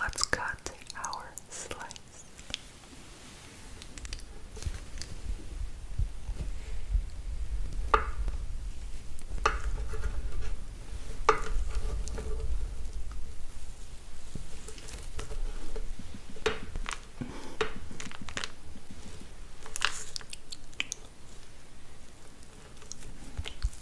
Let's cut our slice.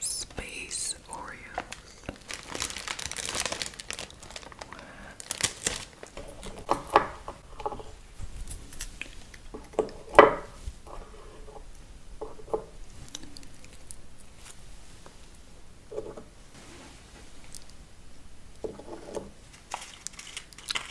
Space Oreos.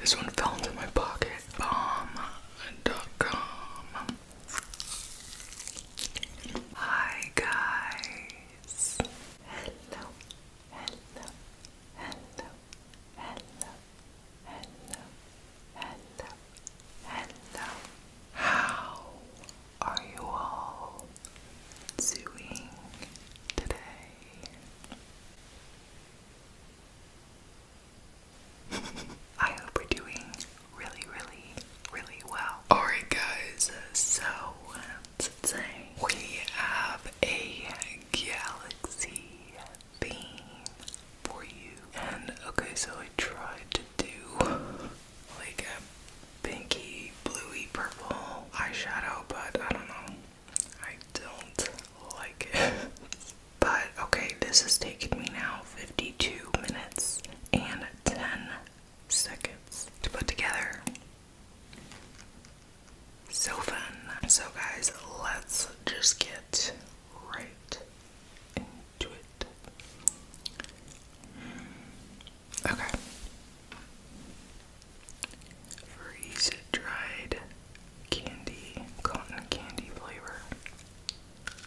This one fell into my pocket. Bomb.com. Um, Hi guys. Hello. Hello. Hello. Hello. Hello. Hello. Hello. How are you all doing today? I hope we're doing really, really, really well. Alright, guys, so today we have a galaxy theme for you. And okay, so I tried to do like a pinky, bluey, purple eyeshadow, but I don't know. I don't like it. but okay, this has taken me now 52 minutes and 10 seconds to put together. So fun. So, guys, let's just get right into it. Okay. Freeze dried candy, cotton candy flavor.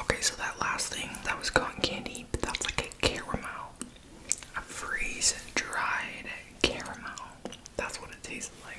Okay, so that last thing that was cotton candy, but was like a caramel. A freeze dried caramel. That's what it tasted like.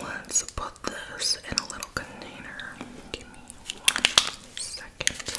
Let's put this in a little container. Give me one second. Right.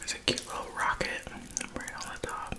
There's a cute little rocket right on the top.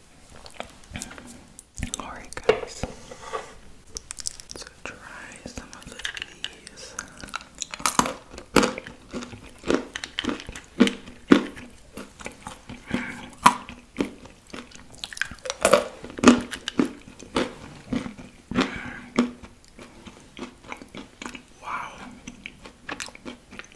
Alright, guys. So try some of these. Wow.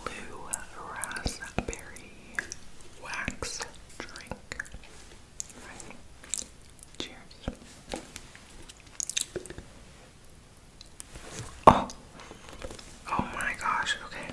Blue raspberry wax drink. Cheers. Oh. Oh my gosh, okay.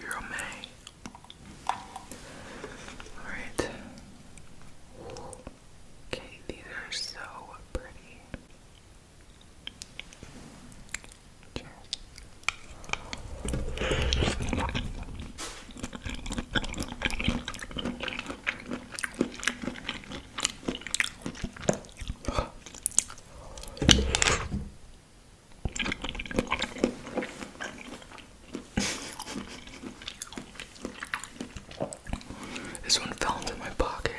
Yummy. Alright. Okay, these are so pretty. This one fell into my pocket.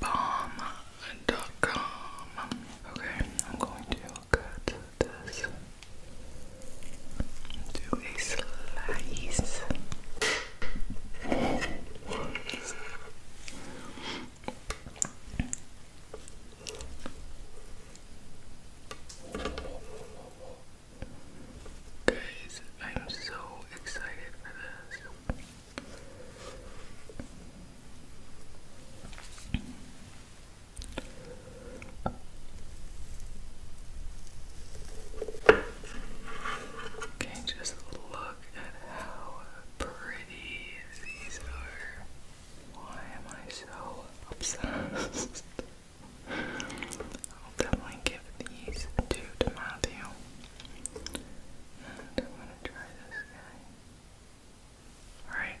Bomb.com. Okay, I'm going to cut a slice. Guys, I'm so excited for this. Okay, just look at how pretty these are. Why am I so obsessed? I'll definitely give these two to Matthew. And I'm gonna try this guy. Alright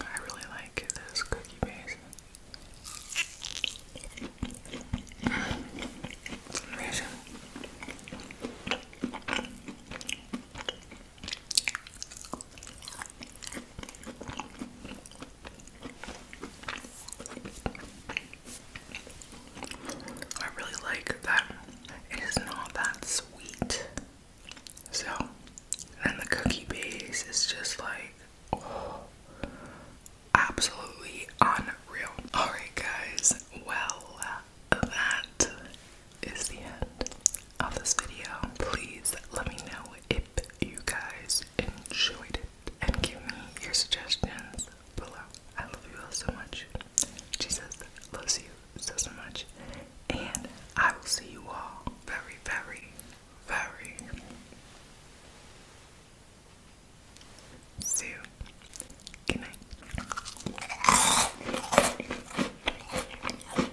I really like this cookie base. amazing. I really like that it is not that sweet. So, and the cookie base is just like, oh, absolutely unreal. Alright, guys, well, that is the end of this video. Please let me know if you guys enjoyed it and give me your suggestions below. I love you all so much. Jesus loves you so, so much. And I will see you all very, very, very soon. Good night.